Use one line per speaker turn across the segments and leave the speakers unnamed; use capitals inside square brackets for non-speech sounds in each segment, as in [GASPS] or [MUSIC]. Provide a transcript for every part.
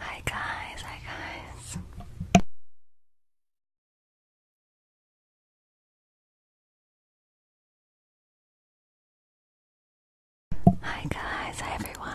Hi guys, hi guys.
Hi guys, hi everyone.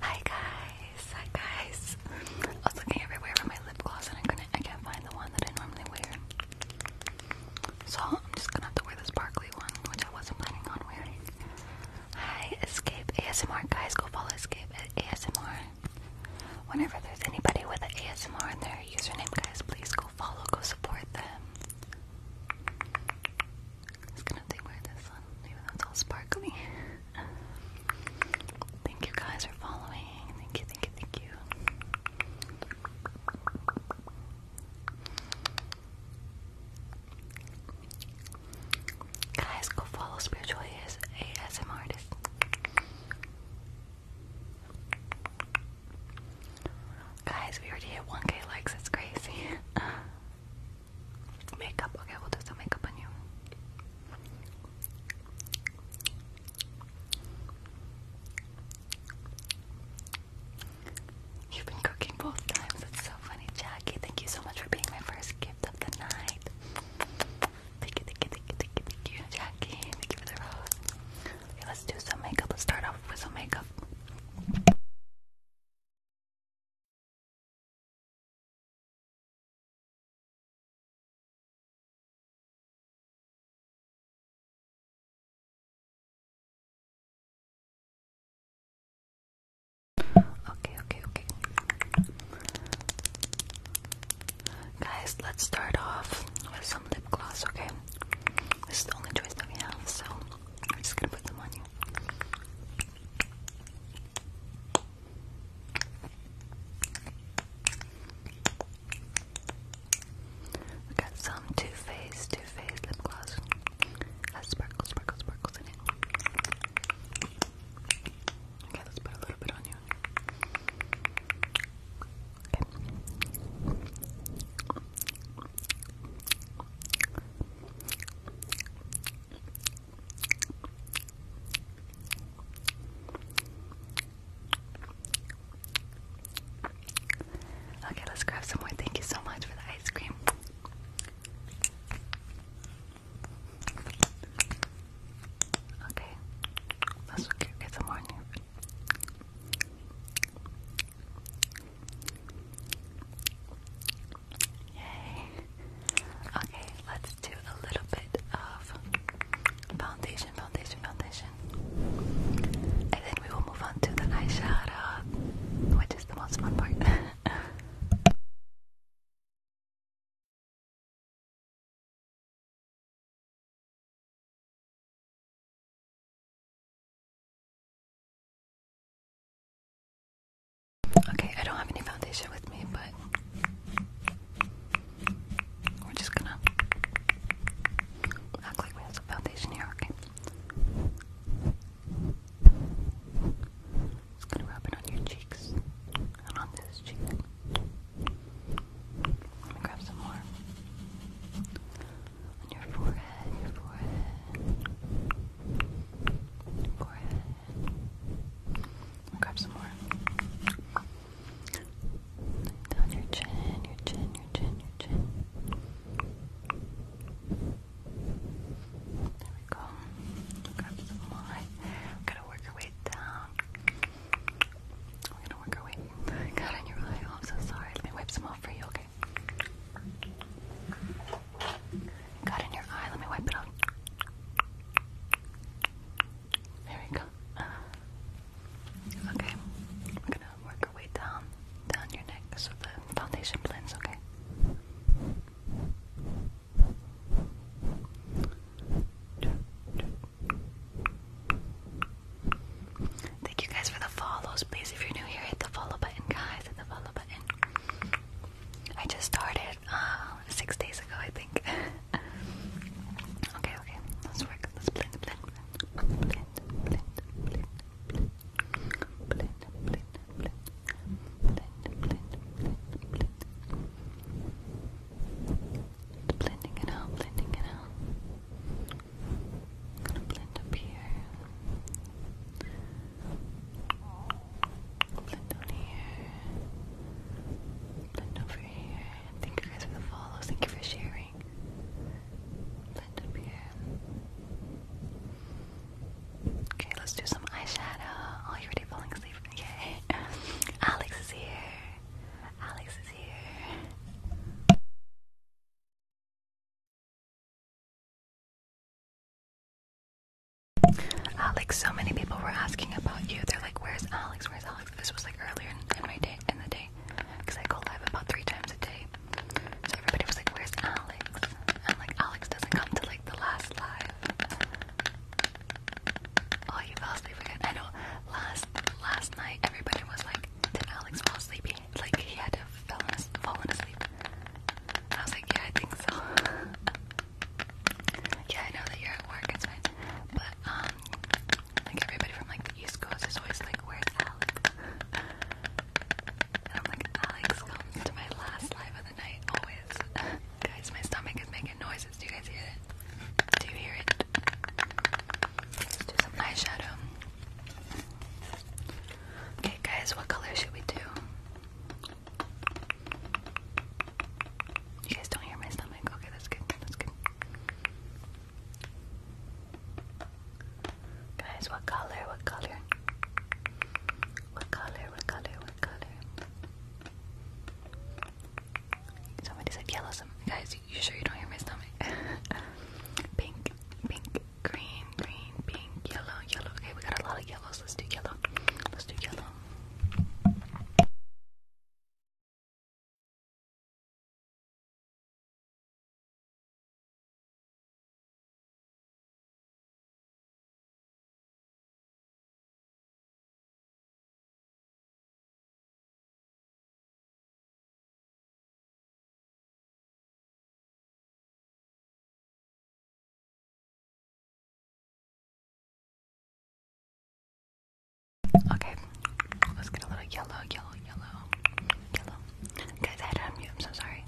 Hi guys, hi guys. I was looking everywhere for my lip gloss and I couldn't I can't find the one that I
normally wear. So I'm just gonna have to wear the sparkly one, which I wasn't planning on wearing. Hi, Escape ASMR guys, go follow Escape at ASMR. Whenever there's anybody with an ASMR in their username, guys, please go follow, go support them. just gonna take this one, even though it's all sparkly. thank you guys for following. Thank you, thank you, thank you. Guys, go follow Spiritual AS ASM artist. Guys, we already hit 1k likes, it's crazy. [LAUGHS] makeup, okay, we'll do some makeup on you. You've been cooking both times, it's so funny. Jackie, thank you so much for being my first gift of the night. Thank you, thank you, thank you, thank you, thank you, Jackie. Thank you for the rose. Okay, let's do some makeup. Let's start off with some makeup. Okay, okay, okay. Guys, let's start off with some lip gloss, okay? This is the only choice that we have, so I'm just gonna put them on you. We got some Too Faced, Too Faced lip gloss. Has sparkles, sparkles, sparkles in it. Okay, let's put a little bit on you. Okay, let's grab some more. Thank you so much for the ice cream. Okay, let's go get some Yay! Okay, let's do a little bit of foundation, foundation, foundation. And then we will move on to the eyeshadow, which is the most fun part. [LAUGHS] Okay, I don't have any foundation with me, but we're just gonna act like we have some foundation here, okay? Just gonna rub on your cheeks and on this cheek. Let me grab some more. On your forehead, your forehead. forehead. grab some more. Down your chin, your chin, your chin, your chin. There we go. Grab some more. Gotta work your way down. We're gonna work our way. God, on your eye. I'm so sorry. Let me wipe some off for you, okay? Got in your eye. Let me wipe it off. There we go. Okay, we're gonna work our way down, down your neck so the foundation blends. Okay. Thank you guys for the follows. Please, if you're new here, hit the follow button, guys. Hit the follow button. I just started uh, six days ago, I think. [LAUGHS] okay, okay. Let's work. Let's blend, blend, blend, blend, blend, blend, blend, blend, blend, blend, blend, blend, blend, blend blending it out, blending it out. gonna blend up here. Blend down here. Blend over here. Thank you guys for the follows. Thank you for sharing. Blend up here. Okay, let's do some eyeshadow. Oh, you're already falling asleep. [LAUGHS] Yay. Alex is here. Alex is here.
Alex, ah, so many people were asking about you.
They're like, "Where's Alex? Where's Alex?" This was like earlier in my day, in the day, because I go live about three times a day. So everybody was like, "Where's Alex?" i like, "Alex doesn't come to like the last live." Oh, you fell asleep again. I know. Last last night, everybody was like, "Did Alex fall asleep? like he had to have fallen, fallen asleep." I was like, "Yeah, I think so." [LAUGHS] yeah, I know that you're at work. It's fine. But um, like everybody from like the East Coast is always like, "Where's Alex?" [LAUGHS] and I'm like, "Alex comes to my last live of the night always." [LAUGHS] guys, my stomach is making noises. Do you guys hear it? Do you hear it? do some eyeshadow. Okay, guys, what color should we do? You guys don't hear my stomach. Okay, that's good. That's good. Guys, what color? What color? What color? What color? What color? Somebody said yellow. guys, you sure you don't hear my stomach? [LAUGHS] pink, pink, green, green, pink, yellow, yellow. Okay, we got a lot of yellows. Let's do yellow. Let's do yellow. Okay, let's get a little yellow, yellow, yellow, yellow. Guys, I am so sorry.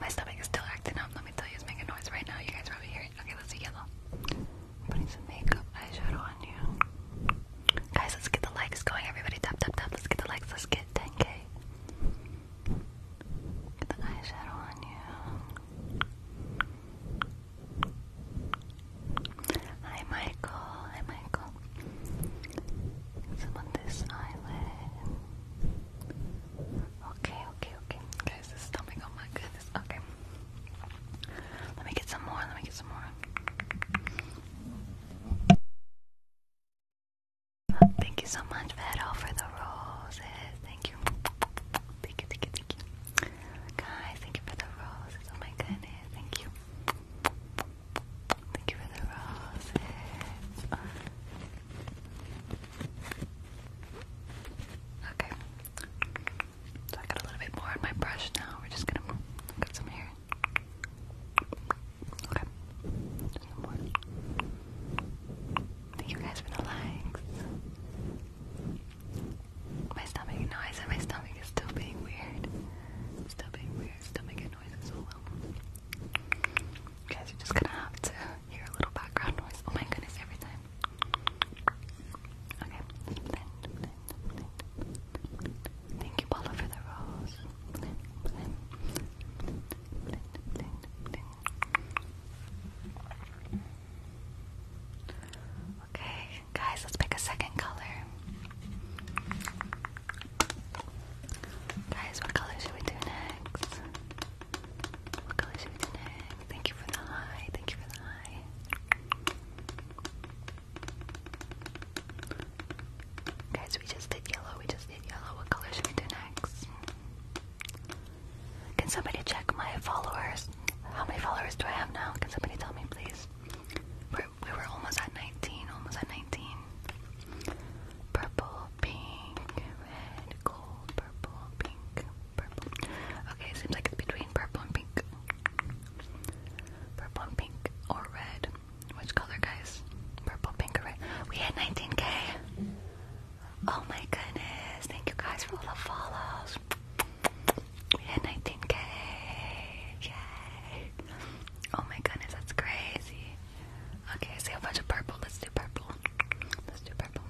My stomach is still acting up. Let me tell you, it's making noise right now. You guys probably hear it. Okay, let's do yellow putting some makeup eyeshadow on you. Guys, let's get the likes going. Everybody tap tap tap. Let's get the likes. Let's get 10k. Get the eyeshadow on you. Hi Michael. Hi Michael. Some on this eyelid. Okay, okay, okay. Guys, this is not my oh my goodness. Okay. Let me get some more. Let me get some more. Thank you so much, Vero, for the roses. Thank you, thank you, thank you. Guys, thank you for the roses. Oh my goodness, thank you. Thank you for the roses. Okay. So I got a little bit more on my brush now. We're just gonna get some here. Okay. Just some more. Thank you guys for the likes. My stomach noise and my stomach is still being weird. Still being weird, still making noises all over. You guys are just gonna have to hear a little background noise. Oh my goodness, every time. Okay, blend, blend, Thank you, Paula, for the rose. Okay, guys, let's pick a second color. Guys, what color should we do next? What color should we do next? Thank you for the high. Thank you for the high. Guys, we just did yellow. We just did yellow. What color should we do next? Can somebody check my followers? How many followers do I have now? Can somebody tell me, please? we were almost at 19. Almost at 19. Purple, pink, red, gold, purple, pink, purple. Okay, seems like it's between purple and pink. Purple pink or red. Which color, guys? Purple, pink, or red? We had 19k. Oh my goodness. Thank you guys for all the follows. We had 19k. Yay. Oh my goodness, that's crazy. Okay, I see a bunch of purple. Let's do purple. Let's do purple.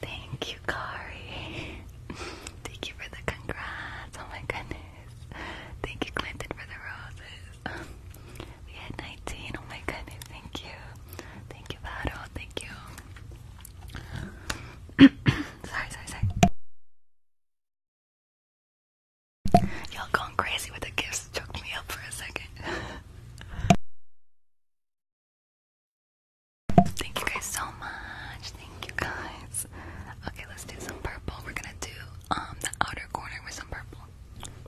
Thank you, Kari. [LAUGHS] Thank you for the congrats. Oh my goodness. Thank you, Clinton, for the roses. [LAUGHS] we had 19. Oh my goodness. Thank you. Thank you, Vado. Thank
you. [CLEARS THROAT] sorry, sorry, sorry. Y'all going crazy with the gifts. Choked me up for a second. [LAUGHS] Thank you guys so much. Thank you guys. Okay, let's do some purple. We're gonna do um the outer corner with some purple.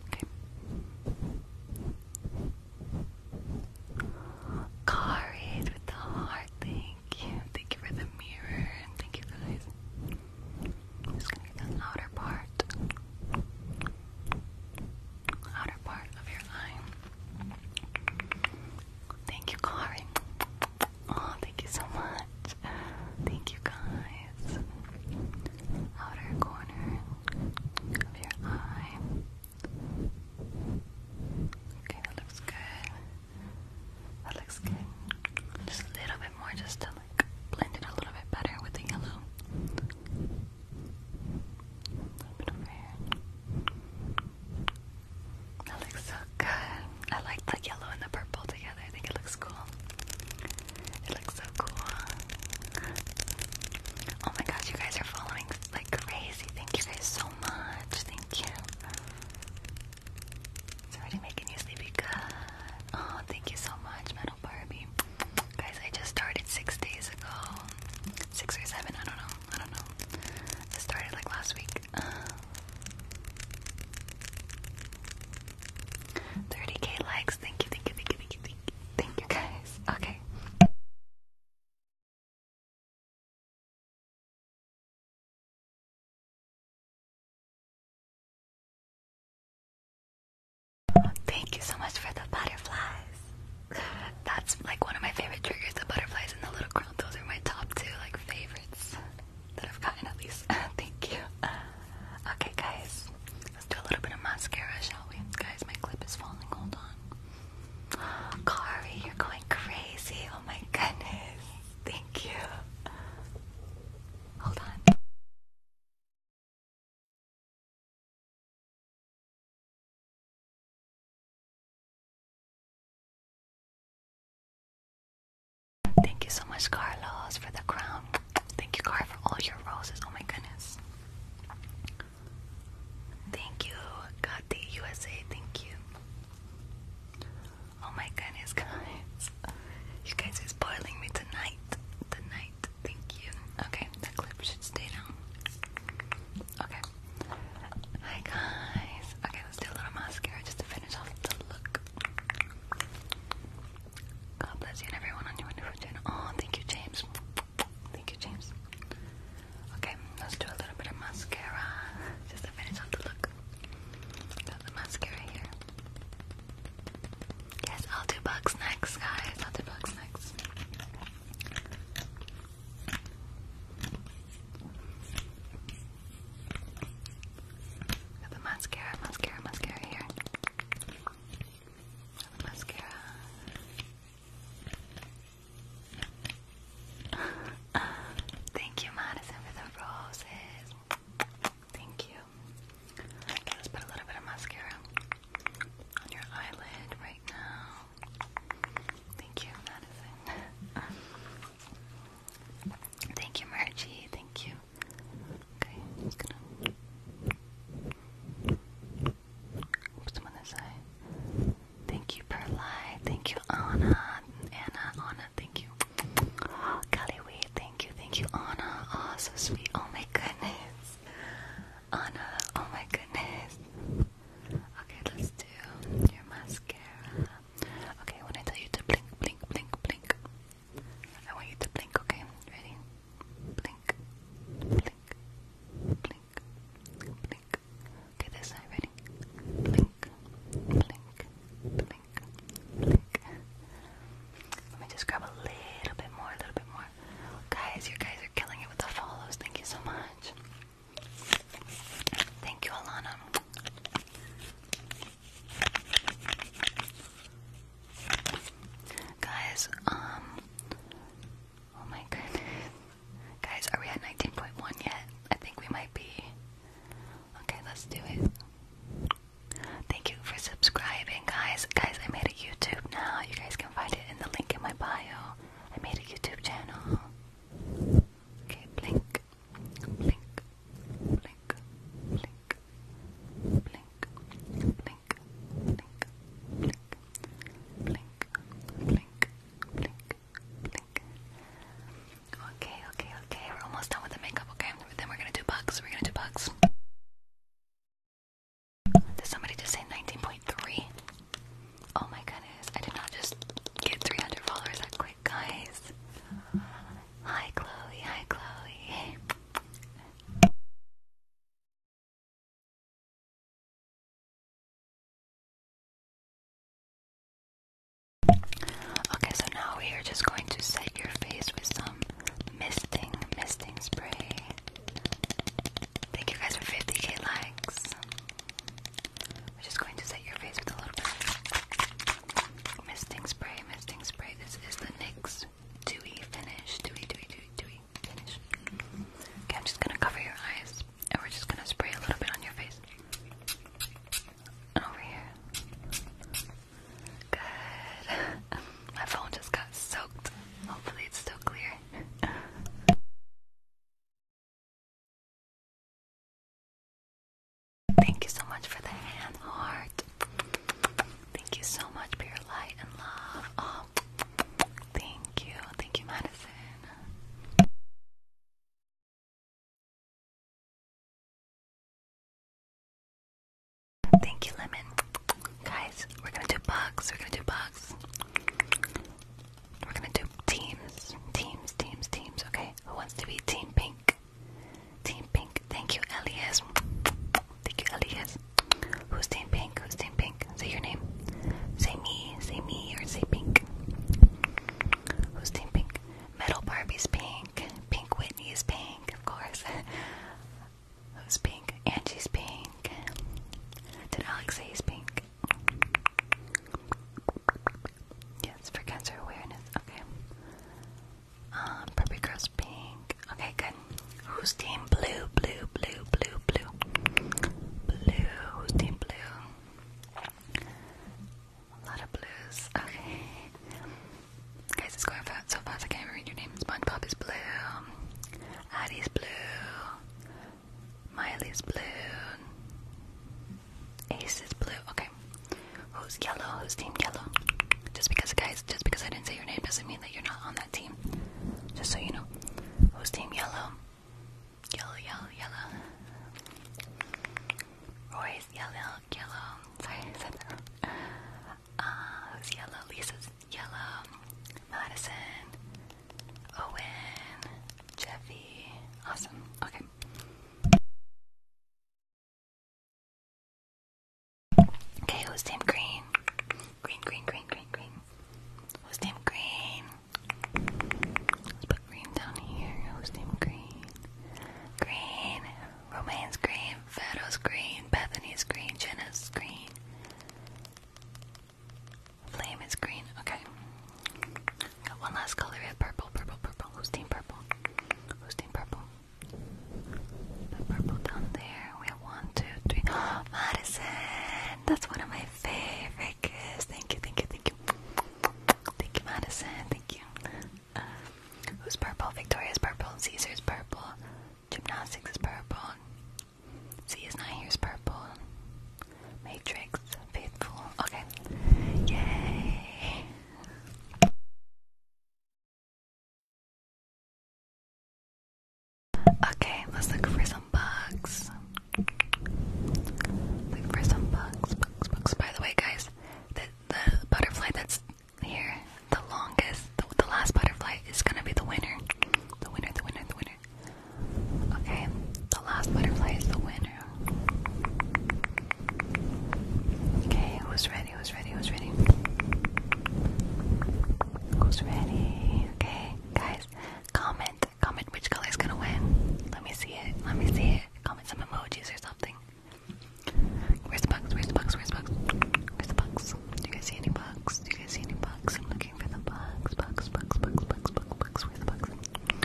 Okay. Card with the heart. Thank you. Thank you for the mirror. thank you guys. just gonna get the outer part.
Outer part of your eye. Thank you, Kari. Oh, thank you so much. Thank you, guys. Outer corner of your eye. Okay, that looks good. That looks good. Just a little bit more, just to like blend it a little bit better with the yellow. A little bit over here. That looks so good. I like the yellow and the purple together. I think it looks cool. It looks so cool. Oh my gosh, you guys are following like crazy. Thank you guys so much. Thank you. It's already making you sleepy good. Oh, thank you so much, Metal Barbie. Guys, I just started six days ago. Six or seven, I don't know. I don't know. It started like last week. 30k um, likes. Thank you, thank you, thank you, thank you, thank you, thank you guys. Okay.
Thank you so much for the
butterflies that's like one of my favorite triggers, the butterflies and the little crow. Those are my top two like favorites that I've gotten at least. [LAUGHS] Thank you. Okay guys, let's do a little bit of mascara, shall we? Guys, my clip is falling, hold on. Kari, you're going crazy. Oh my goodness. Thank you.
Hold on. Thank you so much, Carlos, for the
crown. Thank you, Car, for all your roses. Oh my goodness. Thank you, God the USA. Thank you. Oh my goodness, [LAUGHS] guys. You guys is boiling me tonight. Tonight. Thank you. Okay, the clip should stay down. Okay. Hi guys. Okay, let's do a little mascara just to finish off the look. God bless you and everyone on your wonderful channel. Oh, thank you, James. Thank you, James. Okay, let's do a little bit of mascara just to finish off the look. Got the mascara here. Yes, I'll do bugs next, guys. I'll do bugs next. Got the mascara, mascara, mascara here. mascara. [LAUGHS] Thank you, Madison, for the roses. Thank you. Let's put a little bit of mascara on your eyelid right now. Thank you, Madison. [LAUGHS] Thank you, Margie. Thank you. Okay, just gonna put them on this side. Thank you, Perlai. Thank you, Anna. Anna, Anna, thank you. [GASPS] Kelly thank you, thank you, Anna. Oh, so sweet. Oh my goodness. Anna, oh my goodness. Okay, let's do your mascara. Okay, when I tell you to blink, blink, blink, blink, I want you to blink, okay? Ready? Blink, blink, blink, blink. Okay, this side, ready? Blink, blink, blink, blink. Let me just grab a little bit more, a little bit more. Guys, you guys are killing it with the follows. Thank you so much. Thank you, Alana. Guys, um, oh my goodness. Guys, are we at 19.1 yet? I think we might be. Okay, let's do it. Thank you for subscribing, guys. Guys, I made a YouTube now. You guys can find it in the link in my bio. I made a YouTube channel. Okay, blink, blink, blink, blink, blink, blink, blink, blink, blink, blink, blink, blink. Okay, okay, okay. We're almost done with the makeup, okay? Then we're gonna do bugs. We're gonna do bugs. Did somebody just say 19.3? Oh my goodness, I did not just get 300 followers that quick, guys. Hi, Chloe. Hi, Chloe. Okay, so now we are just going to set your face with some misting, misting spray. Thank you guys for 50k likes. I'm just going to set your face with a little bit misting spray, misting spray. This is the NYX Dewy Finish. dewy, dewy, dewy finish. Okay, I'm just gonna cover your eyes and we're just gonna spray a little bit on your face. And over here. Good. [LAUGHS] My phone just got soaked. Hopefully it's still clear. [LAUGHS] Thank you so much for the hand heart. Thank you so much for your light and love. Oh, thank you. Thank you, Madison. Thank you, Lemon. Guys, we're gonna do bugs. We're gonna do bugs. We're gonna do teams. Teams, teams, teams. Okay, who wants to be Team Pink? Team Pink. Thank you, Elias. Thank you, Elias. Who's Team Pink? Who's Team Pink? Say your name. Say me, say me, or say Pink. Who's Team Pink? Metal Barbie's Pink. Pink Whitney's Pink, of course. [LAUGHS] Who's Pink? Angie's Pink. Did Alex say he's Pink? Yes, for cancer awareness. Okay. Um, Purple Girls Pink. Okay, good. Who's team blue? Blue, blue, blue, blue. Blue. Who's team blue? A lot of blues. Okay. Guys, it's going fast so fast I can't even read your name. SpongeBob is blue. Addie's blue. Miley's blue. Ace is blue. Okay. Who's yellow? Who's team yellow? Just because, guys, just because I didn't say your name doesn't mean that you're not on that team. Just so you know. Who's team yellow? Yellow, yellow, yellow. Roy's yellow, yellow. Sorry, I said that uh, who's yellow? Lisa's yellow. Madison. Owen, Jeffy. Awesome. Okay. Okay, who's named Green? Green, green, green, green, green. Who's named Green? put Green down here. Who's named Green? Green. Romaine's Green. Fato's Green. Bethany's Green. Jenna's Green. Flame is green. Okay. Got one last color. We have purple, purple, purple. Who's team purple? Who's team purple? purple down there. We have one, two, three. [GASPS] Madison! That's one of my favorite Thank you, thank you, thank you. Thank you, Madison. Thank you. Um, who's purple? Victoria's purple. Caesar's purple. Gymnastics is purple. Z is not purple. Matrix, faithful. Okay. Yay. Okay, let's look for some bugs. Look for some bugs, bugs, bugs. By the way, guys, the butterfly that's here, the longest, the last butterfly is gonna be the winner. The winner, the winner, the winner. Okay, the last butterfly is the winner. Okay, who's ready? Who's ready? Who's ready? Who's ready? Okay, guys, comment. Comment which color is gonna win. Let me see it. Let me see it. Comment some emojis or something. Where's the box? Where's the box? Where's the box? Where's the box? Do you guys see any bugs? Do you guys see any bugs? I'm looking for the bugs. Bugs, bugs, bugs, bugs, bugs, bugs, bugs. Where's the box?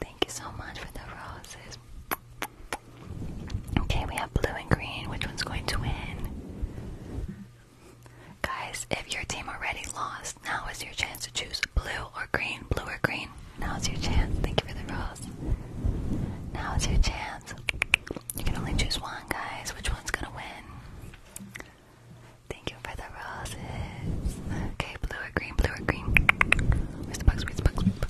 Thank you so much for the roses. Okay, we have blue and green. Which one's going to win? Guys, if your team already lost, now is your chance to choose blue or green. Blue or green. Now is your chance. Thank you for the roses. Now Now's your chance. You can only choose one, guys. Which one's gonna win? Thank you for the roses. Okay, blue or green, blue or green. Where's the box? Where's the box?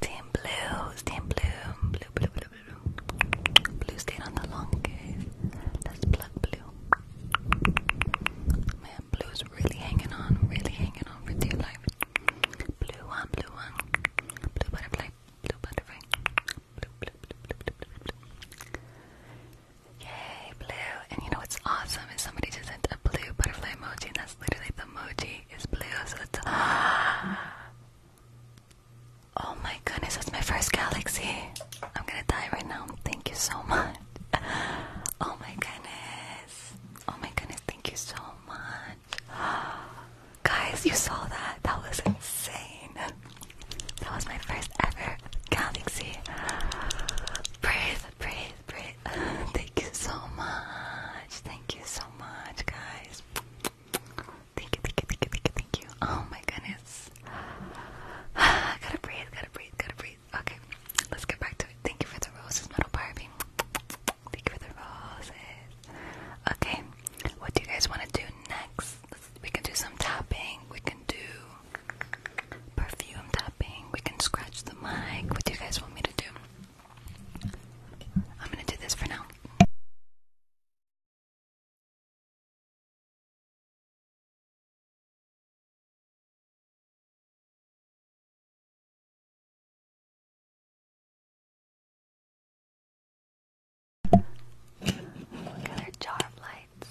Team blue, team blue, blue, blue, blue, blue. Blue stayed on the long case. Let's plug blue. Man, blue's really hanging on, really hanging on for dear life. Blue one, blue one. Blue butterfly, blue butterfly. Blue, blue, blue, blue, blue, blue, blue. Yay, blue. And you know what's awesome is somebody just sent a blue butterfly emoji, and that's literally the emoji is blue. So it's. [GASPS] Oh my goodness, that's my first galaxy. I'm gonna die right now. Thank you so much. [LAUGHS] Oh my goodness. Oh my goodness, thank you so much. [GASPS] Guys, you saw that. That was insane. That was my first ever galaxy. [GASPS] Breathe praise, praise. [LAUGHS] Thank you so much. Thank you so much, guys. Thank you, thank you, thank you, thank you, Oh my goodness. I [SIGHS] gotta breathe, gotta breathe, gotta breathe. Okay, let's get back to it. Thank you for the roses, Metal Barbie. Thank you for the roses. Okay, what do you guys want to do next? we can do some tapping. We can do. Perfume tapping. We can scratch the mic. What do you guys want me to do?
I'm gonna do this for now.
Look jar lights.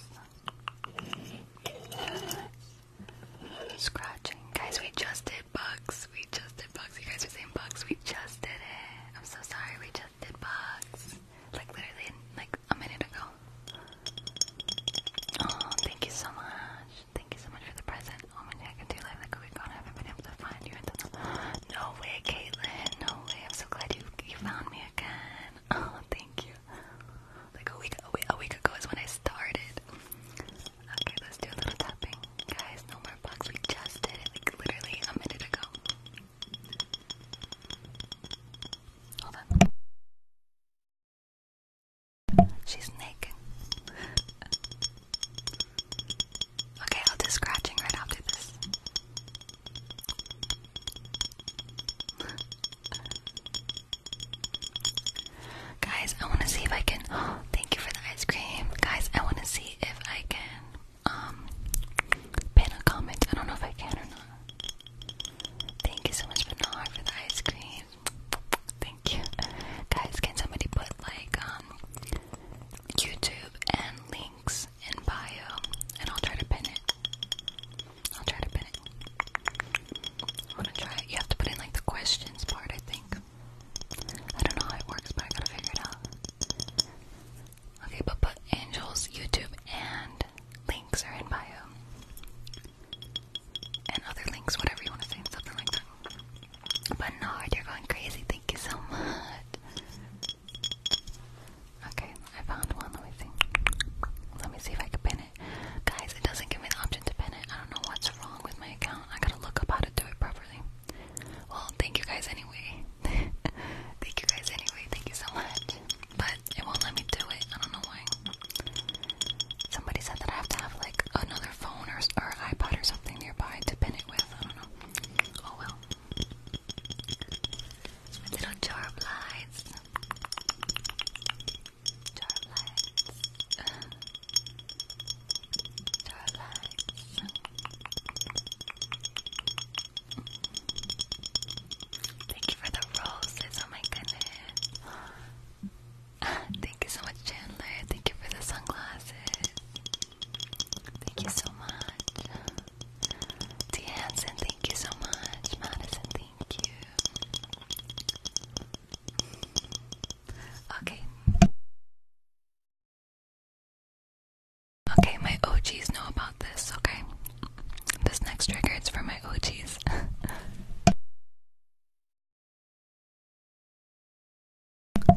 Scratching. Guys, we just did bugs. We just did bugs. You guys are saying bugs. We just did it. I'm so sorry. We just did bugs. Like literally like a minute ago. Oh, thank you so much. Thank you so much for the present. Oh my god, I like a week ago I haven't been able to find you. No way, Caitlin. No way. I'm so glad you you found me again. Oh, thank you like a week, a week, ago is when I started. Okay, let's do a little tapping. Guys, no more bugs. We just did it literally a minute ago. Hold on. She's naked. Okay, I'll do scratching right after this. Guys, I want to see if I can. [GASPS] thank you for the ice cream. Guys, I want to see if I can um pin a comment. I don't know if I can or not. Thank you so much, Bernard, for the ice cream. [TSK] Thank you. Guys, can somebody put like um, YouTube and links in bio and I'll try to pin it. I'll try to pin it. i to try it. You have to put in like the questions part, I think. I don't know how it works, but I gotta figure it out. Okay, but put Angel's YouTube and links are in bio. And other links, whatever you want to say, something like that. But no, you're going crazy. Thank you so much. Okay, I found one. Let me see. Let me see if I can pin Guys, it doesn't give me the option to pin it. I don't know what's wrong with my account. I gotta look up how to do it properly. Well, thank you guys anyway. [LAUGHS] thank you guys anyway. Thank you so much. But it won't let me do it. I don't know why. Somebody said that I have to have like another phone or, or iPod or something nearby to pin it with. I don't know. Oh well. Little jar of Starlights. Starlights. Thank you for the roses. Oh my goodness. [GASPS] Thank you so much, Chandler. Thank you for the sunglasses. Thank you so much. T. Hansen, thank you so much. Madison, thank you.
Okay. Okay,
my OGs
know about this, okay? This next trigger is for my OGs. [LAUGHS]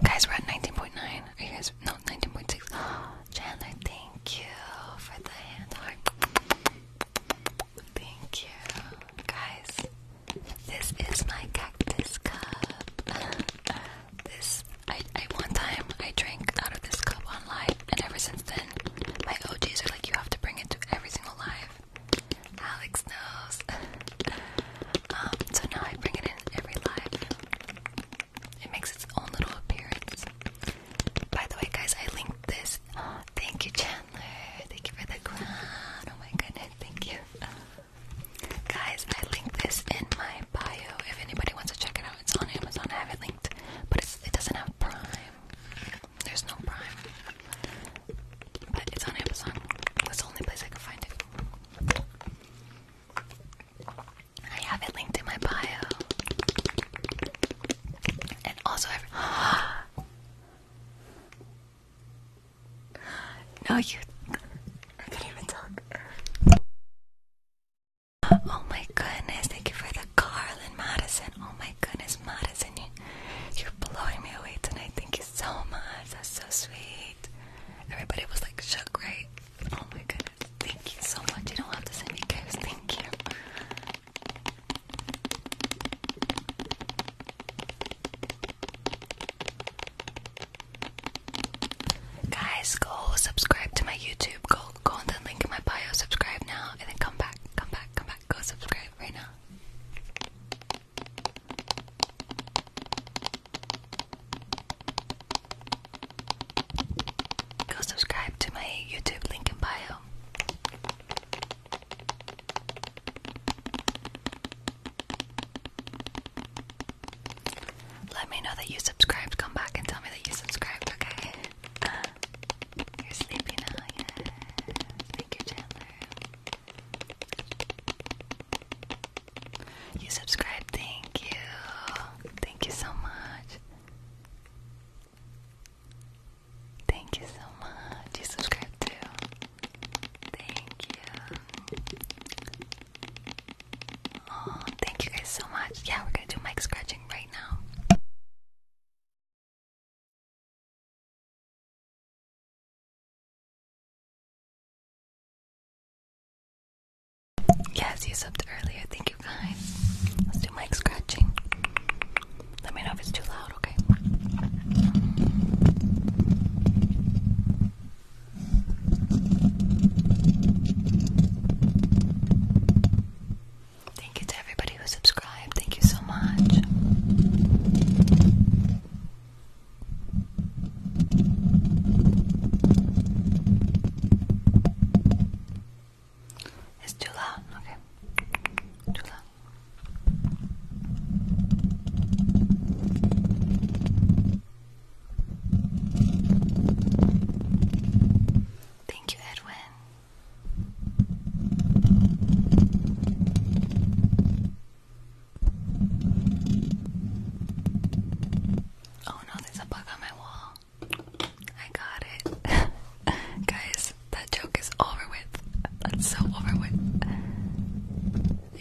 guys, we're at 19.9. Are
you guys? No, 19.6. [GASPS] Chandler, thank you for the hand Thank you. Guys, this is my cactus cup. [LAUGHS] this, I, I, one time I drank out of this cup on live, and ever since then, my OGs are like, you have to bring it to every single live. Alex knows. [LAUGHS] Um, so now I bring it in every live. It makes its own little appearance. By the way, guys, I linked this [GASPS] thank you, Chandler. Thank you for the crown. Oh my goodness, thank you. Uh, guys, I linked this in my bio. If anybody wants to check it out, it's on Amazon. I have it linked, but it doesn't have Prime. There's no Prime. But it's on Amazon. That's the only place I can find it. I have it linked in my bio. And also, I've. [GASPS] No, you. I can't even talk. Oh my goodness, thank you for the Carlin Madison. Oh my goodness, Madison, you, you're blowing me away tonight. Thank you so much. That's so sweet. Everybody was like shook, right? Oh my goodness, thank you so much. You don't have to send me gifts. Thank you. Guys, go subscribe to my YouTube. Go go on the link in my bio, subscribe now, and then come back, come back, come back, go subscribe right now. Go subscribe to my YouTube link in bio. Let me know that you subscribed. Come back and tell me that you subscribed, okay? Uh, you're sleepy now, yeah. Thank you, Chandler. You subscribed, thank you. Thank you so much. Thank you so much. You subscribe too. Thank you. Oh, thank you guys so much. Yeah,
we're gonna do mic scratching right now.
Yes, you subbed earlier. Thank you guys. Let's do mic scratching. Let me know if it's too loud, okay? Thank you to everybody who subscribed. Thank you so much. It's too loud, okay. Thank you, Edwin. Oh no, there's a bug on my wall. I got it. [LAUGHS] Guys, that joke is over with. That's so over with.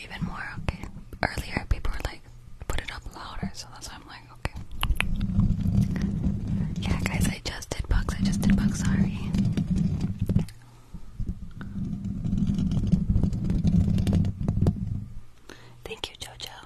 Even more, okay. Earlier people were like, put it up louder, so that's why I'm like, okay. Yeah guys, I just did bugs, I just did bugs, sorry. Thank you, Jojo.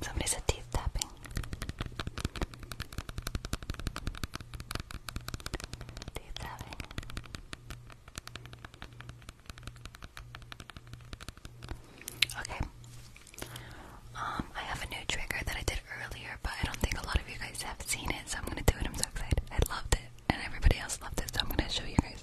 Somebody said teeth tapping. Teeth tapping. Okay. Um, I have a new trigger that I did earlier, but I don't think a lot of you guys have seen it, so I'm gonna do it. I'm so excited. I loved it, and everybody else loved it, so I'm gonna show you guys.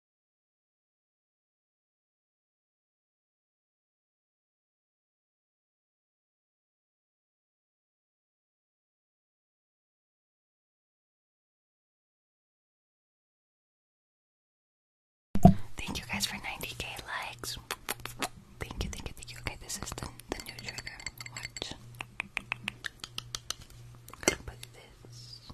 Thank you guys for 90k likes. Thank you, thank you, thank you. Okay, this is the, the new trigger. Watch. I'm gonna put this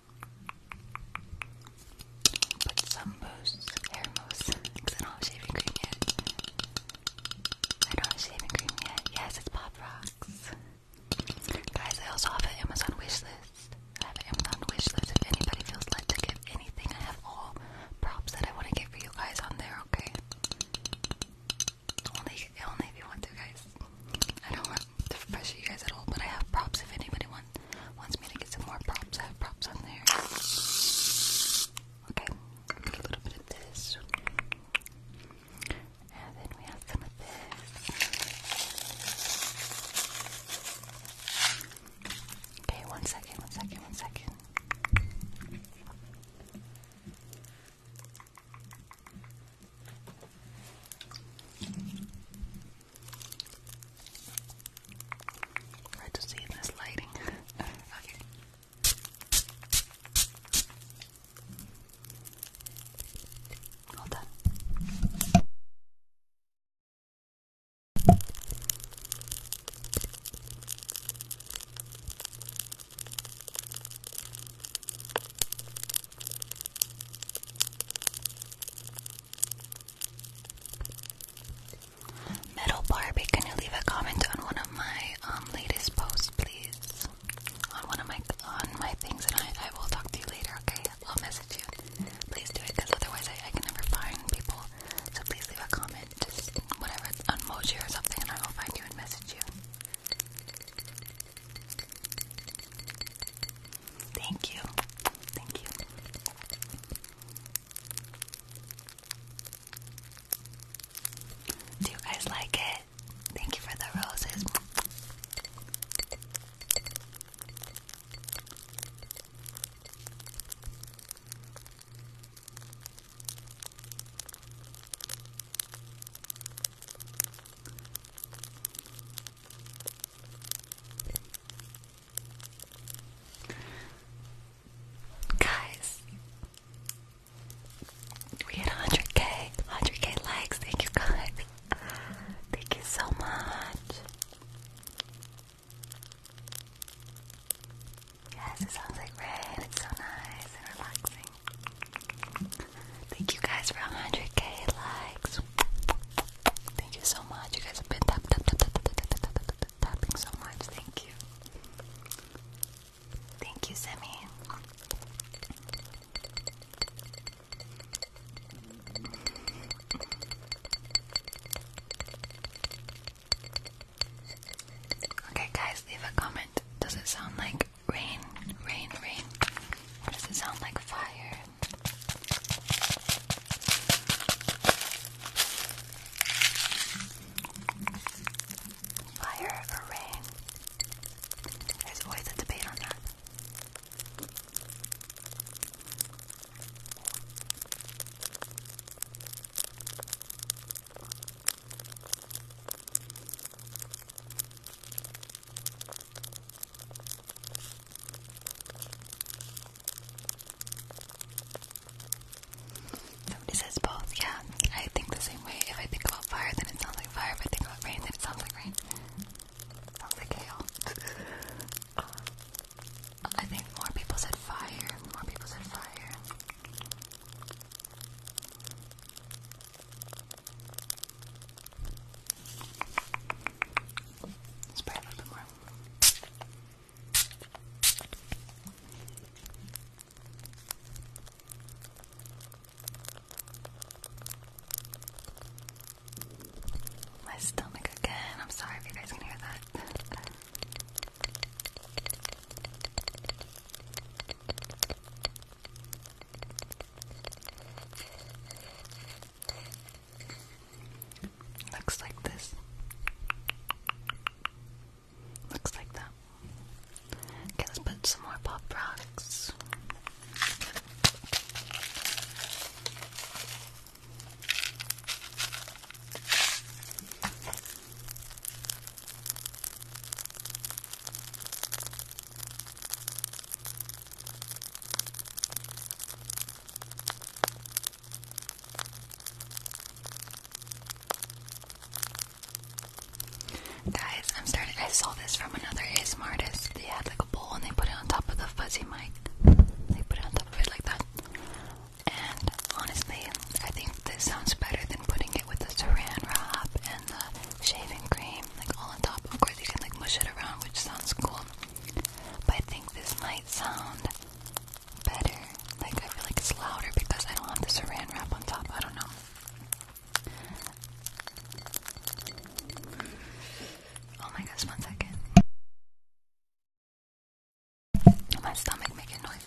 Put some mousse, hair mousse, because I don't have shaving cream yet. I don't have shaving cream yet. Yes, it's Pop Rocks. Guys, I also have an Amazon wish I have an Amazon wish If anybody feels led to give anything, I have all props that I want to get for you guys on there. Okay. Only, only if you want to, guys. I don't want to pressure you guys at all, but I have props if anybody wants. Wants me to get some more props. I have props on there. Okay, a little bit of this. And then we have some of this. Okay, one second, one second, one second. Hard to see in this lighting. [LAUGHS] okay. All done. Metal Barbie, can you leave a comment on one of my um, latest posts, please? On one of my on my things, and I, I will talk to you later. Okay, I'll message you. Please do it, because otherwise I, I can never find people. So please leave a comment, just whatever on Moji or something, and I will find you and message you. Thank you, thank you. Do you guys like it? Thank you for the roses. Guys, we hit 100k, 100k likes. Thank you, guys. Thank you so much. Yes, it sounds like rain. It's so nice and relaxing. Thank you guys for 100k likes. Thank you so much. You guys have been tap tap tap tap tap tap tap tap tap tapping so much. Thank you. Thank you, Sammy. Okay, guys, leave a comment. Does it sound like rain? Rain, rain. Or does it sound like fire? Fire or rain? There's always a debate on that. Somebody says both, yeah. I think the same way. If I think about fire, then it sounds like fire. If I think about rain, then it sounds like rain. Sounds like hail. Um, I think more people said fire. More people said fire. Spray a little bit more. My stomach again. I'm sorry if you guys can hear that. Looks like this. Looks like that. Okay, let's put some more pop rocks. Guys, I'm starting. I saw this from another ASMR artist. They had like a bowl and they put it on top of the fuzzy mic. They put it on top of it like that. And honestly, I think this sounds better than putting it with the saran wrap and the shaving cream, like all on top. Of course, you can like mush it around, which sounds cool. But I think this might sound better. Like, I feel like it's louder because I don't have the saran wrap on top. I don't know. Oh my gosh, one second. My stomach making noise.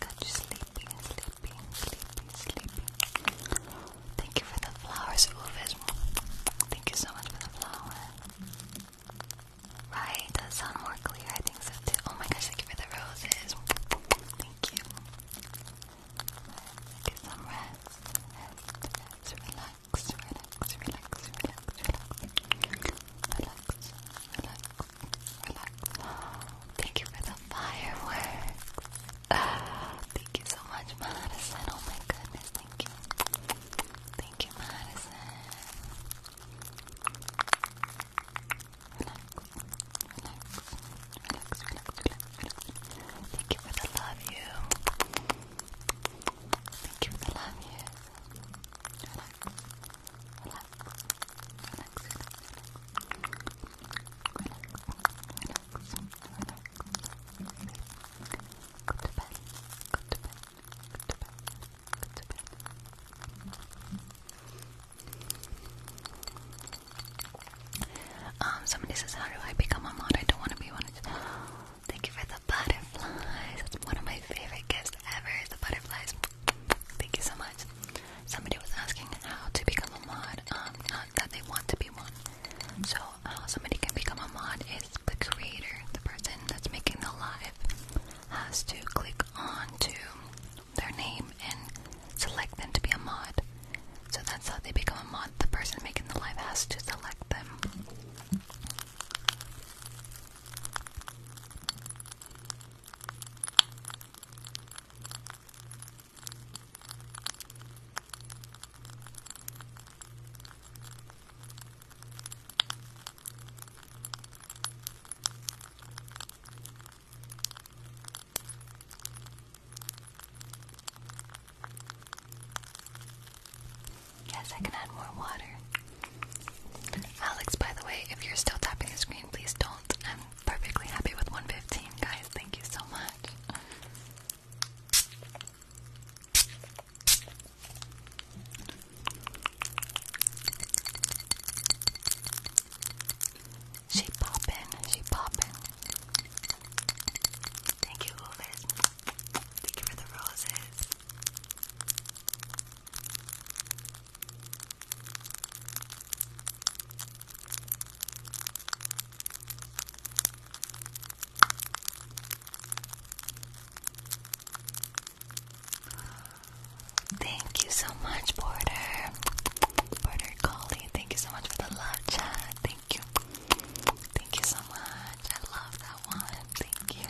Got you sleepy, sleepy, sleepy, sleepy. Thank you for the flowers, Uvis. Thank you so much for the flower. Right, does sound more clear. I think so too. Oh my gosh, thank you for the roses. Thank you. Get some rest. relax, relax, relax, relax, relax. Relax, relax, relax. Thank you for the fireworks. [SIGHS] thank you so much, Madison. Oh my goodness, thank you. Thank you, Madison. Thank you for the love, you. Thank you for the love, you. Go to bed, go to bed, go to bed. Um, somebody says, how do I become a mod? I don't want to be one. Thank you for the butterflies. That's one of my favorite gifts ever is the butterflies. Thank you so much. Somebody was asking how to become a mod, um, not that they want to be one. So how somebody can become a mod is the creator, the person that's making the live has to click on to their name and select them to be a mod. So that's how they become a mod. The person making the live has to select them. Yes, I can add more water. Alex, by the way, if you're still tapping the screen, please don't. I'm perfectly happy with 115, guys. Thank you so much. She poppin', she poppin'. Thank you, Ovid. you for the roses. Thank you so much, Porter. Porter Collie, thank you so much for the love chat. Thank you. Thank you so much. I love that one. Thank you.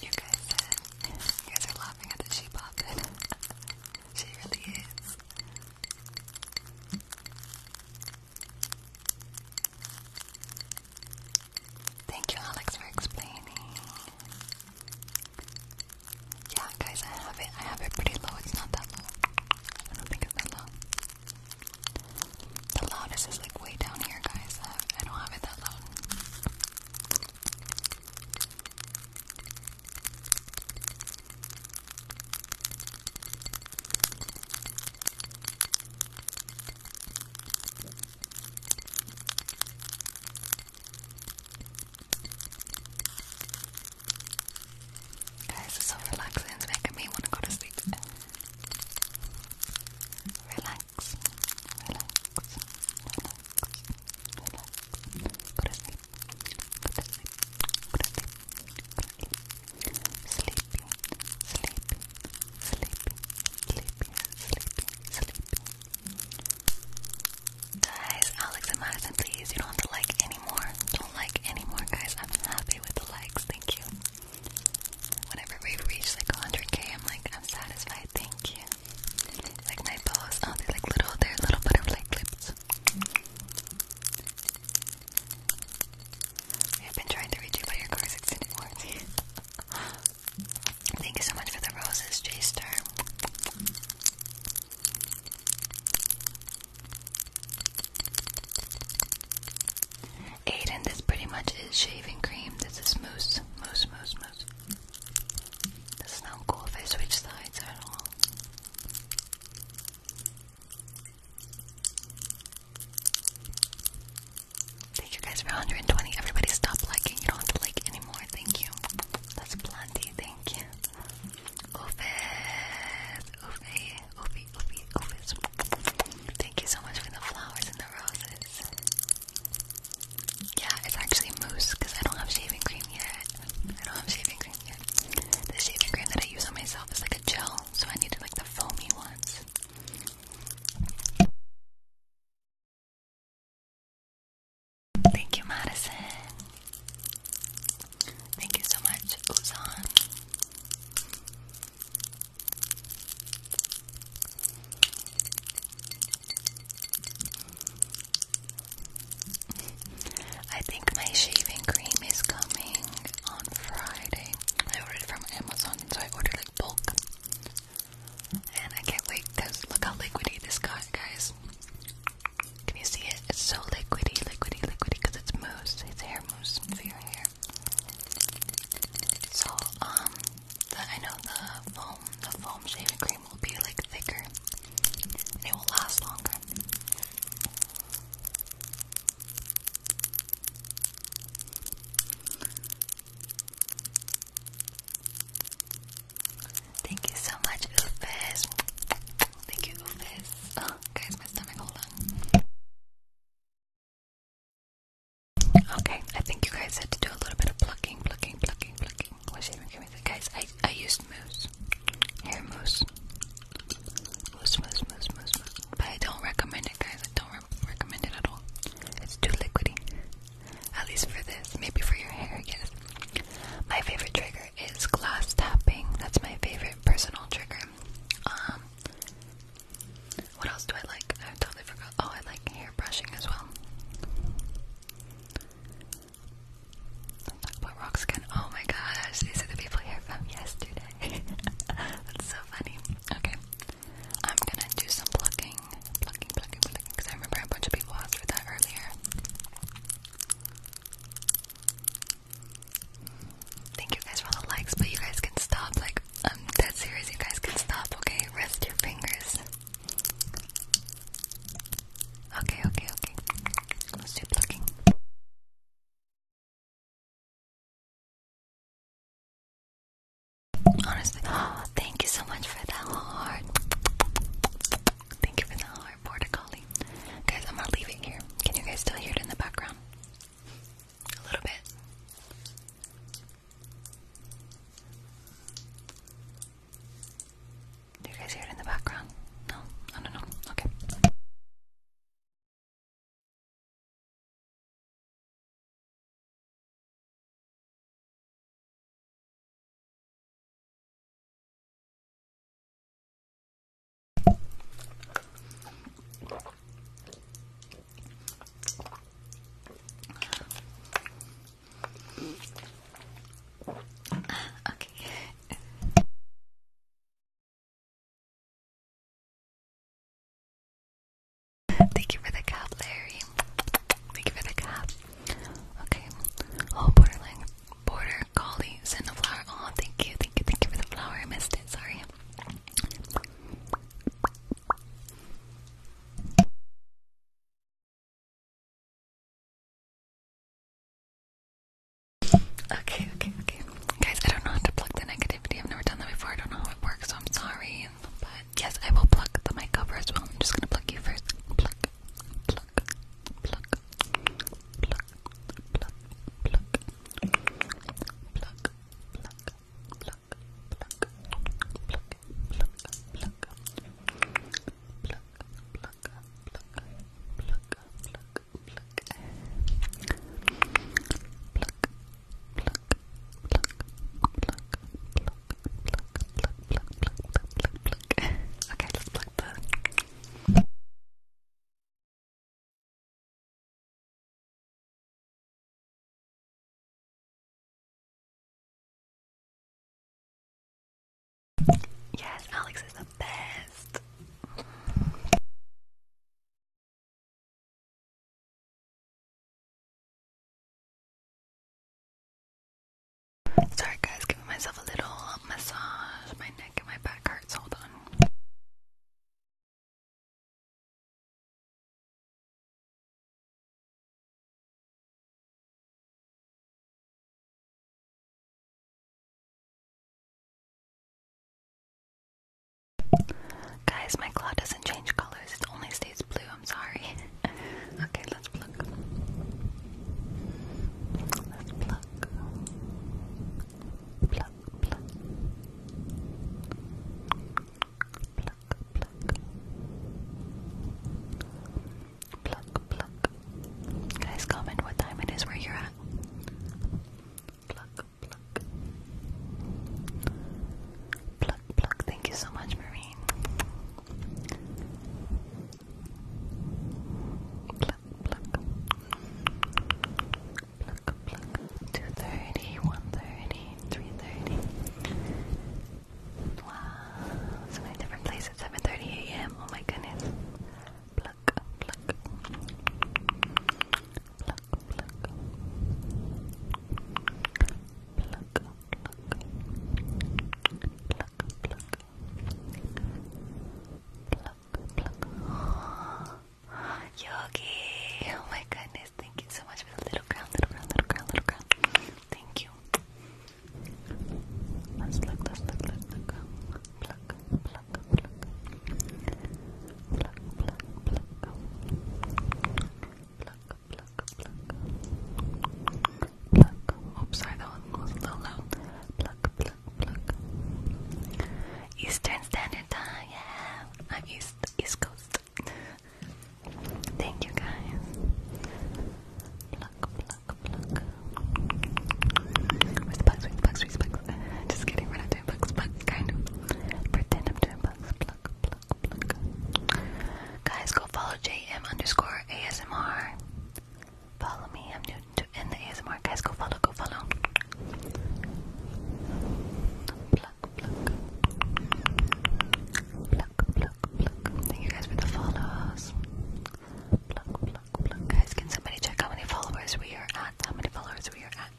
You guys you guys are laughing at the she poppin'. [LAUGHS] she really is. Thank you, Alex, for explaining. Yeah, guys, I have it. I have it pretty low. It's not that low. I don't think it's that low. The loudest is like way down here, guys. I don't have it that loud. Guys, it's so relaxing. making me want to go to sleep. Relax, relax, relax, relax. Go to sleep, go to sleep, go to sleep, go to sleep. Sleepy, sleepy, sleepy, sleepy, sleepy, sleepy. Guys, Alex and Madison, please, you don't have to like anymore. Don't like anymore, guys. I'm happy with the likes. Thank you. Whenever we reach like 100k, I'm like, I'm satisfied, thank you. Like my bows, oh, they're like little, they're little butterfly clips. I've been trying to reach you, but your car's extended Thank you so much for the roses, J Aiden, this pretty much is shaving cream. This is mousse, mousse, mousse, mousse. This is not cool if I switch sides at all. Thank you guys for 120. Everybody stop liking. You don't have to like anymore. Thank you. That's plenty. Thank you. Oofus. Oofy. Ovi, Ovi, Ovis. Thank you so much for the flowers and the roses. Yeah, it's actually mousse because I don't have shaving cream yet. I don't have shaving cream yet. The shaving cream that I use on myself is like a gel, so I needed like the foamy
ones. Thank you, Madison.
Thank you so much, Uzan. [LAUGHS] I think my shaving cream is coming on Friday. I ordered it from Amazon, so I ordered like bulk. And I can't wait because look how liquidy this guy, guys. Can you see it? It's so liquidy, liquidy, liquidy because it's mousse. It's hair mousse for your hair. So, um, I know the foam, the foam shaving cream will be like thicker, it will last longer.
Thank you so much, Ufis. Thank you, Ufis. Oh, guys, my stomach, Okay, I think you guys had to do a little bit of plucking, plucking,
plucking, plucking. What's even giving me that? Guys, I, I used mousse. Hair mousse. Mousse, mousse, mousse, mousse, But I don't recommend it, guys. I don't recommend it at all. It's too liquidy. At least for this. Maybe for your hair, yes. My favorite trigger is glass tapping. That's my favorite personal trigger. Um, what else do I like? I totally forgot. Oh, I like hair brushing as well. Let's talk about rock skin. Oh my gosh, these are the people here from yesterday. [LAUGHS] That's so funny. Okay, I'm gonna do some plucking, plucking, plucking, plucking, because I remember a bunch of people asked for that earlier thank you guys for all the likes, but you guys can stop. Like, I'm um, that serious. You guys can stop, okay? Rest your fingers. Okay, okay, okay. Let's do
plucking. Honestly, [GASPS] thank you so much for that heart. Thank you for the heart, Porticoli. Guys, I'm gonna here. Can you guys still hear it in the background? a little bit. Do you guys hear it in the background? No? I don't Okay.
Okay. Thank you for the cup, Larry. Thank you for the cap. Okay. Oh, borderline border collie send Oh, thank you, thank you, thank you for the flower. I missed it. Sorry. Okay, okay, okay. Guys, I don't know how to plug the negativity. I've never done that before. I don't know how it works, so I'm sorry. But yes, I will plug the mic over as well. I'm just gonna plug you first. Plug, plug, plug, plug, plug, plug, plug, plug, plug, pluck, pluck, pluck, pluck, pluck, pluck, pluck, pluck, pluck, pluck, pluck, pluck, pluck, pluck, pluck, pluck, pluck,
pluck, pluck. Okay, let's pluck the Yes, Alex is the best. Sorry guys, giving myself a little massage. My neck and my back hurts. Hold on.
Guys, my claw doesn't change colors, it only stays blue. I'm sorry. [LAUGHS] okay, let's pluck. Let's pluck. Pluck, pluck. Guys, comment what time it is where you're at. Pluck, pluck. Pluck, pluck. Thank you so much, Marine. Pluck, pluck pluck, 2.30, 1.30, 3.30. Wow, so many different places. 7.30 a.m., oh my goodness. Yogi. Oh my goodness. Thank you so much for the little crown, little crown, little crown, little crown. Thank you. Let's look, let's look, let's look. Pluck, pluck, pluck. Pluck, pluck, pluck. Pluck, pluck, pluck. Pluck. Oops, sorry, that one was a little loud. Pluck, pluck, pluck. Eastern Standard Time, yeah. I'm East, East Coast. Thank you guys. Pluck, pluck, pluck. Where's the bugs? Where's the bugs? Just kidding, we're not doing bugs, but kind of. Pretend I'm doing bugs. Pluck, pluck, pluck. Guys, go follow JM underscore ASMR. Follow me, I'm new to ASMR. Guys, go follow, go follow. Thank you guys for the follows. Guys, can somebody check how many followers we are at? How many followers we are at?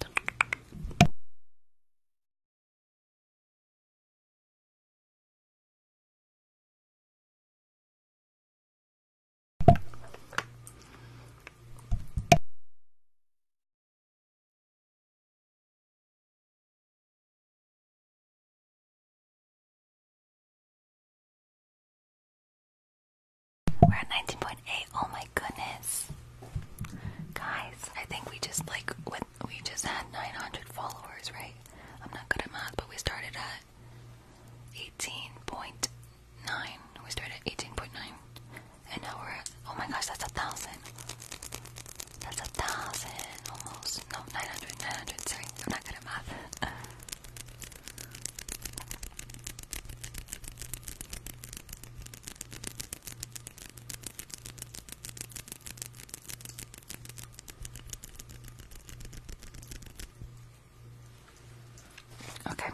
We're at 19.8. Oh my goodness.
Guys, I think we just like we just had 900 followers, right? I'm not good at math, but we started at 18.9. We started at 18.9. And now we're oh my gosh, that's a thousand. That's a thousand almost. No, 900, 900. Sorry, I'm not good at math. Okay.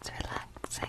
It's relaxing.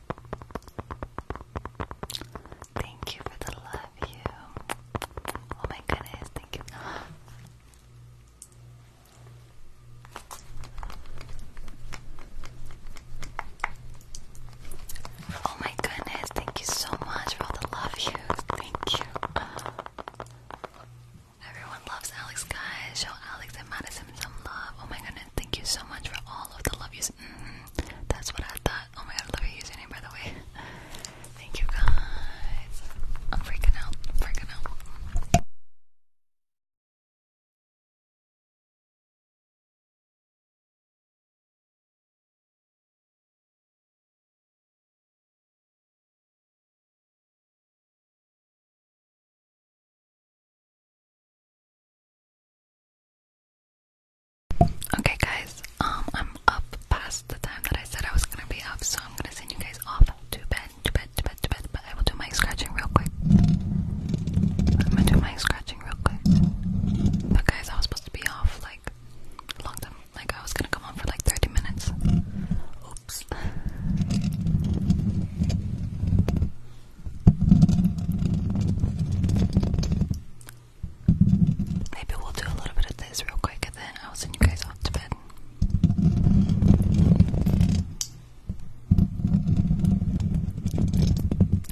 Thank you for the love, you. Oh my goodness, thank you. Oh my goodness, thank you so much for the love, you. Thank you. Everyone loves Alex, guys. Show Alex and Madison some love. Oh my goodness, thank you so much for all of the love you mm -hmm. That's what I thought. Oh my god, love your username by the way. [LAUGHS] thank you guys. I'm freaking out. freaking out.
Okay guys, um I'm up
past the time that I said I was gonna be up, so I'm gonna send you guys off to bed, to bed, to bed, to bed, but I will do my scratching real quick. I'm gonna do my scratching real quick. But guys, I was supposed to be off like a long time. Like I was gonna come on for like 30 minutes. Oops. Maybe we'll do a little bit of this real quick and then I'll send you guys off to bed.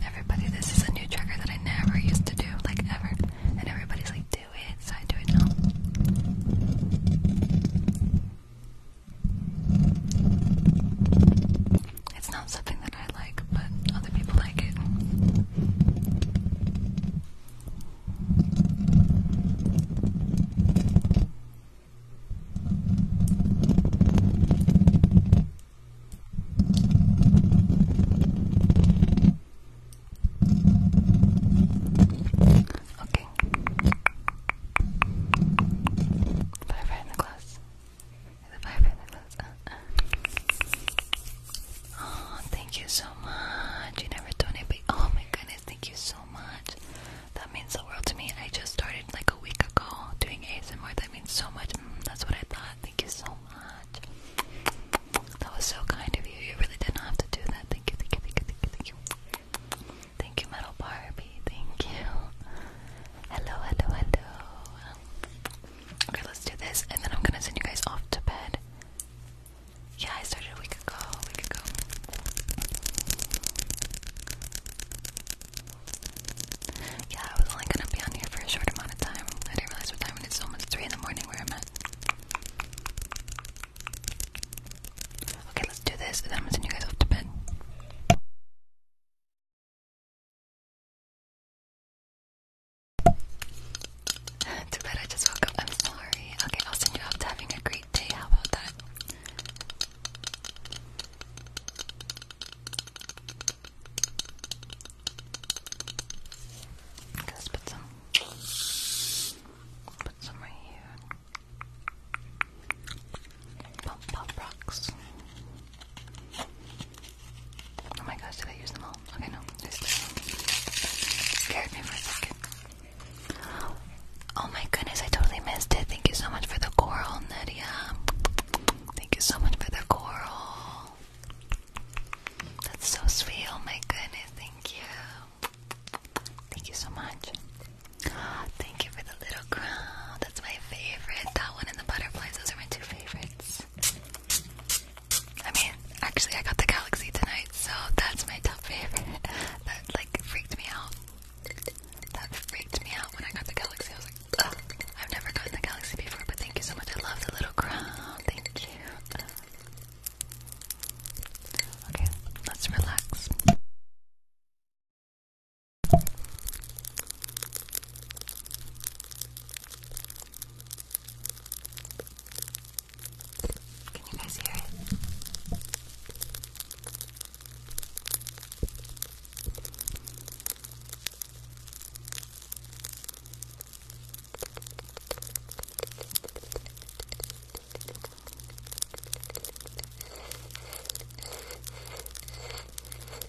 Everybody, this is a new trigger that I never used to do, like ever. And everybody's like, do it, so I do it now. It's not something that I like, but other people like it. Okay. Bye, right the class. Oh, thank you so much. You never donate, oh my goodness, thank you so much. That means the world to me. I just started like a week ago doing ASMR. That means so much. Mm, that's what I thought. Thank you so much. That was so kind of you. You really didn't have to do that. Thank you, thank you, thank you, thank you, thank you. Thank you, Metal Barbie. Thank you. Hello, hello, hello. Okay, let's do this, and then I'm gonna send you guys off to bed. Yeah, I started a week ago. week ago. Yeah, I was only gonna be on here for a short amount of time. I didn't realize what time it is. It's almost three in the morning where I'm at. Okay, let's do
this, and then I'm gonna send you guys off to bed. [LAUGHS] Too bad I just woke up. I'm sorry. Okay, I'll send you off having a great day. How about that?
let's put some, put some right here. Pop, pop rocks. Oh my gosh, did I use them all? Okay, no. I scared me for a second. Oh my goodness, I totally missed it. Thank you so much for the coral, Nadia. Thank you so much for the coral. That's so sweet. Oh my goodness, thank you. Thank you so much. Thank you for the little crown that's my favorite. That one and the butterflies, those are my two favorites. I mean, actually, I got the galaxy tonight, so that's my top favorite. [LAUGHS] That like freaked me out. That freaked me out when I got the galaxy. I was like, Ugh. I've never gotten the galaxy before, but thank you so much. I love the little crown. Thank you.
Okay, let's relax. Can you guys hear it?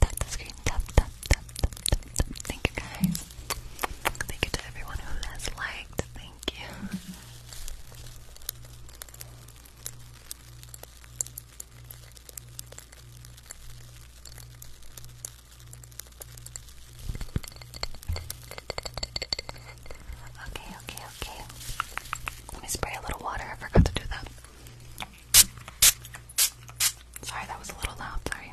tap, the screen, tap, tap, tap, tap, tap, Thank you guys. Thank you to everyone who has liked. Thank you. Okay, okay, okay. Let me spray a little water. I forgot to do that. Sorry, that was a little loud. Sorry.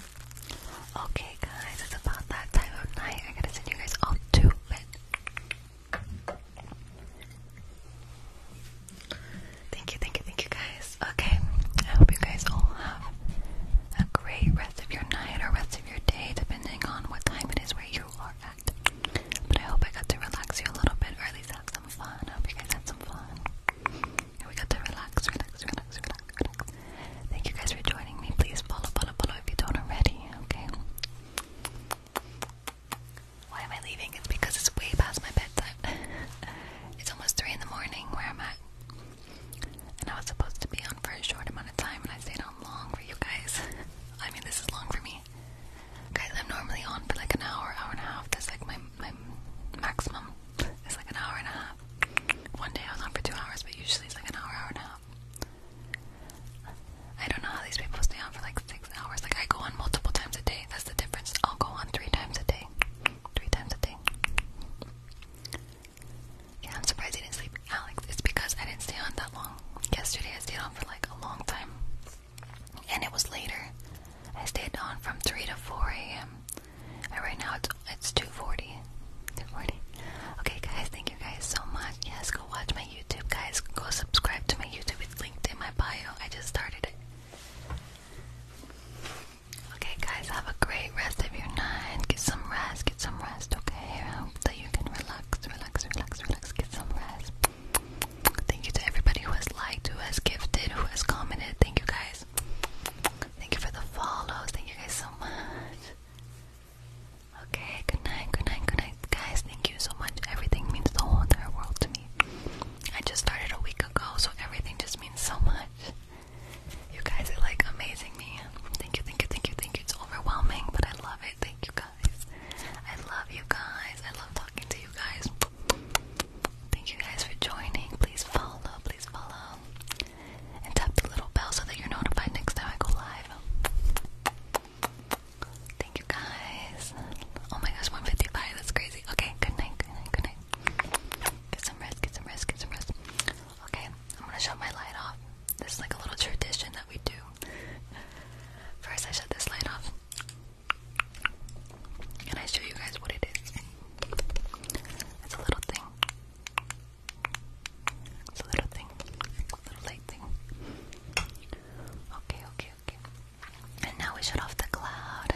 Okay, guys, it's about that time of night. I gotta send you guys off to bed. Thank you, thank you, thank you, guys. Okay, I hope you guys all have a great rest of your night or rest of your day, depending on what time it is where you are at. But I hope I got to relax you a little bit, or at least have some fun. I hope you guys had some fun. And we got to relax, relax, relax, relax, relax. Thank you guys for joining me. Please follow, follow, follow if you don't already, okay? Why am I leaving? It's because it's way past my bedtime. [LAUGHS] it's almost 3 in the morning where I'm at. And I was supposed to be on for a short amount of time, and I stayed on long for you guys. [LAUGHS] I mean, this is long for me. Guys, I'm normally on for like an hour, hour and a half. That's like my, my maximum. It's like an hour and a half. One day I was on for two hours, but usually it's like an hour, hour and a half. I don't know how these people stay on for like six hours. Like I go on multiple times a day. That's the difference. I'll go on three times a day. Three times a day. Yeah, I'm surprised you didn't sleep, Alex. It's because I didn't stay on that long. Yesterday I stayed on for like a long time. And it was later. I stayed on from 3 to 4 a.m right now it's it's 240. 240. Okay guys, thank you guys so much. Yes, go watch my YouTube guys. Go subscribe to my YouTube. It's linked in my bio. I just started it. Okay guys, have a great rest of your night. Get some rest, get some rest, okay? I hope that you can relax, relax, relax, relax, get some rest. Thank you to everybody who has liked, who has gifted, who has commented. Thank you guys. Thank you for the follows. Thank you guys so much. Okay, good night, good night, good night, guys. Thank you so much. Everything means the whole entire world to me. I just started a week ago, so everything just means so much. You guys are like amazing, me. Thank you, thank you, thank you, thank you. It's overwhelming, but I love it. Thank you guys. I love you guys. I love talking to you guys. Thank you guys for joining. Please follow, please follow. And tap the little bell so that you're notified next time I go live. Thank you guys. Oh my gosh, 155, that's crazy. Okay, good night, good night, good night. Get some rest, get some rest, get some rest. Okay, I'm gonna shut my light off. This is like a little tradition that we do. First, I shut this light off. And I show you guys what it is. It's a little thing. It's a little thing. little light thing. Okay, okay, okay. And now we shut off the cloud.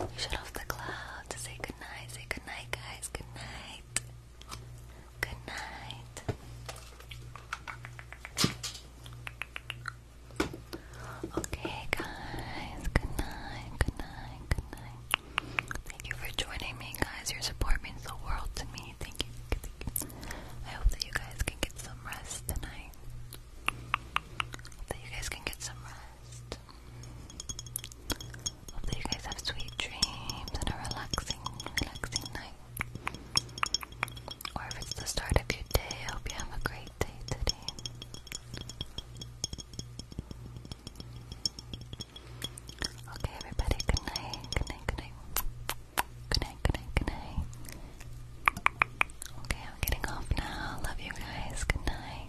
We shut off the cloud to say goodnight. Say goodnight, guys. Goodnight. Good night. Okay, guys. Good night. Good night. Good night. Thank you for joining me, guys. Your support means the world to me. Thank you. I hope that you guys can get some rest tonight. Hope that you guys can get some rest. Hope that you guys have sweet dreams and a relaxing, relaxing night or if it's the start of your day, I hope you have a great day today. Okay, everybody, good night, good night, good night. Good night, good night, good night. Okay, I'm getting off now. Love you guys. Good night.